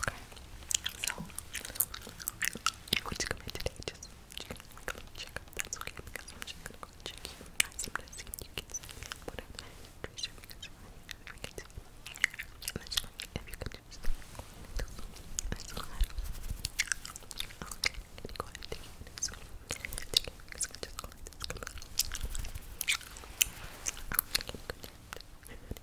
Okay, so you're going come in today, just check, check up, that's okay, because I'm just going to go check you out, sometimes you can see whatever, trace your fingers around, you can see, and I just like, if you can just, that's all right, okay, can you go ahead and take your fingers, take your fingers, just go like this, come on, okay, good,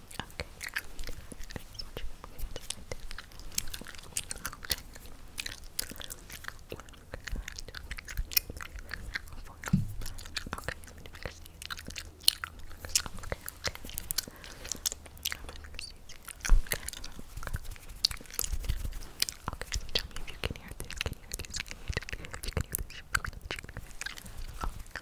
Okay. I just want you to move it just like this. Okay, let me fix these. Okay, okay. I'm gonna fix these here. Okay. Okay, tell me if you can hear this. Can you hear this? Can you hear this? If you can hear this, you can hear this. Okay.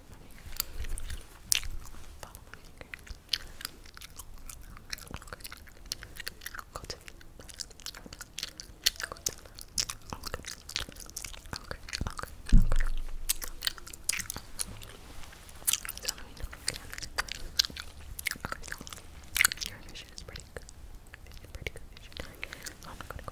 Follow my finger. Okay. Go to Go to Okay. Okay. Okay. Okay. So let me know Okay, so your vision is pretty good. It's pretty good vision. I'm oh gonna go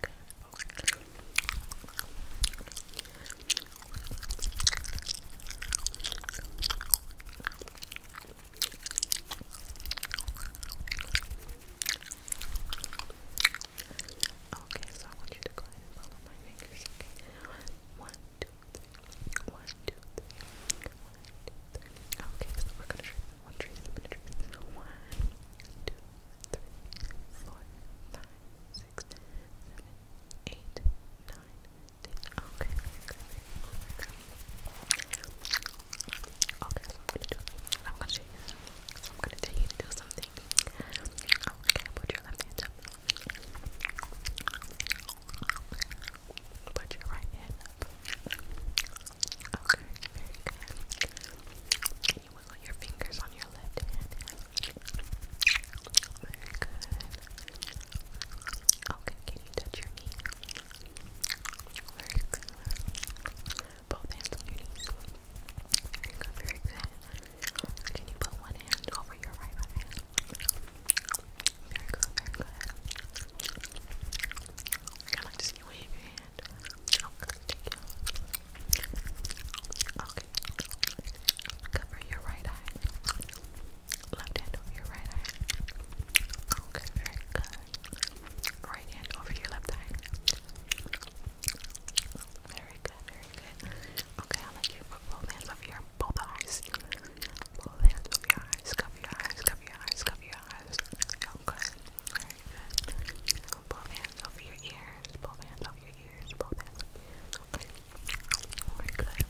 good. Okay, so I want you to go ahead and follow my fingers, okay? One, two, three. Okay, so we're gonna try one, three, one, two, three. One, two, three, four, five, six, seven, eight, nine, ten. Okay, Okay, I'm gonna do I'm gonna show you I'm gonna tell you to do something. Okay, put your left hand up. Put your right hand Okay, Can you wiggle your fingers on your left Very good. Okay, can you touch your knee? Very good. Both hands on your knees. Very good, very good. Can you put one hand over your right eye? Very good, very good. I like to see you Okay. Cover your right eye. Left hand over your right eye. Okay, very good. Right hand over your left eye. Very good, very good. Okay, I'll you both hands over your both eyes. Both hands over your eyes cover your eyes, cover your eyes, cover your eyes. Okay. Very good. Both hands over your ears, both hands over your ears, both hands Okay. Very good.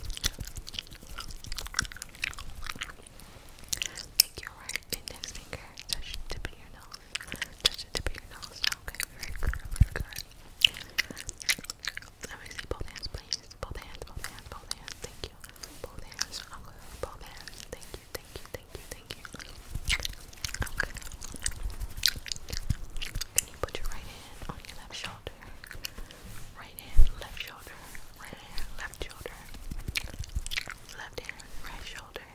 Take your right index finger, touch the tip of your nose. Touch the tip of your nose. Okay, very good, very good. Let me see both hands, please. Both hands, both hands, both hands. Thank you both hands. I'll both hands. Thank you, thank you, thank you, thank you. Okay. Can you put your right hand on your left shoulder? Right hand, left shoulder, right hand, left shoulder. Left hand, right shoulder,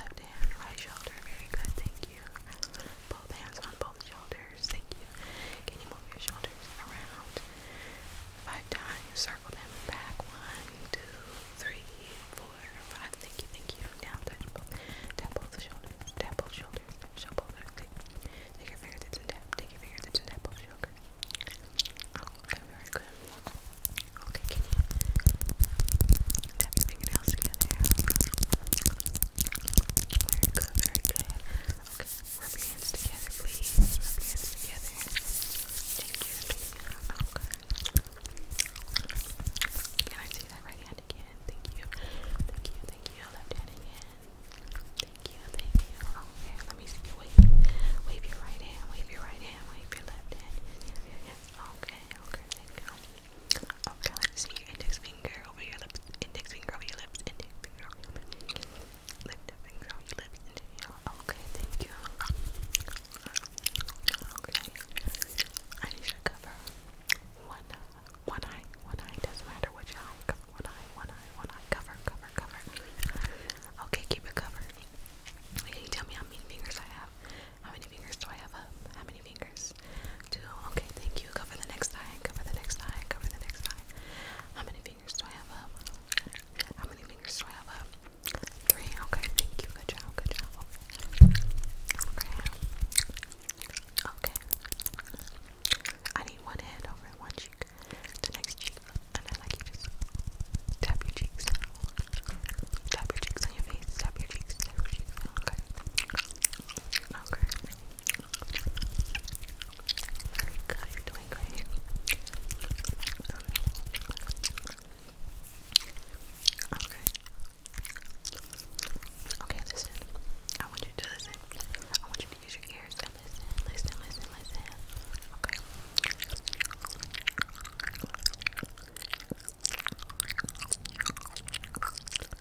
left hand, right shoulder. Very good, thank you. Both hands on both shoulders, thank you. Can you move your shoulders around? five times, circle them back, one, two, three, four, five, thank you, thank you, now touch both, tap both shoulders, tap both shoulders, show both okay. take your fingertips and tap, take your fingertips and tap both shoulders, very good, okay, can you tap your fingernails together, very good, very good, okay, Rub your hands together, please. Rub your hands together. Thank you. Okay. Can I see that right hand again? Thank you. Thank you. Thank you. Left hand again. Thank you. Thank you. Okay. Let me see you wave. Wave your right hand. Wave your right hand. Wave your left hand. Okay. Okay. Okay. Let's see your index finger over your lips. Index finger over your lips. Index finger Lift your you lift it Okay, thank you. Okay. I need you to cover one one eye. One eye, doesn't matter which eye. one eye, one eye, one eye. Cover, cover, cover. Okay, keep it covered. Can tell me how many fingers I have? How many fingers do I have How many fingers? Two. Okay, thank you. Cover the next eye, cover the next eye, cover the next eye. How many fingers do I have up? How many fingers do I have up? Three. Okay, thank you. Good job. Good job. Okay. Okay. I need one hand over one cheek, the next cheek, and then like you tap your cheeks. Tap your cheeks on your face. Tap your cheeks. Tap your cheeks. Okay. Okay. Good, you're doing great. Okay. Okay, listen. I want you to listen. I want you to use your ears and listen, listen, listen, listen. Okay.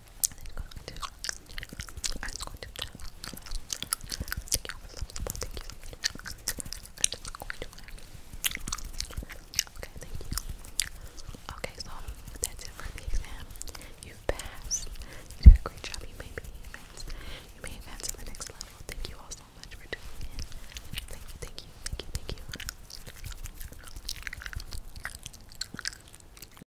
Okay, thank you. Okay, so that's it for the exam. you passed. You did a great job. You You may advance to the next level. Thank you all so much for tuning in. Thank you, thank you, thank you, thank you.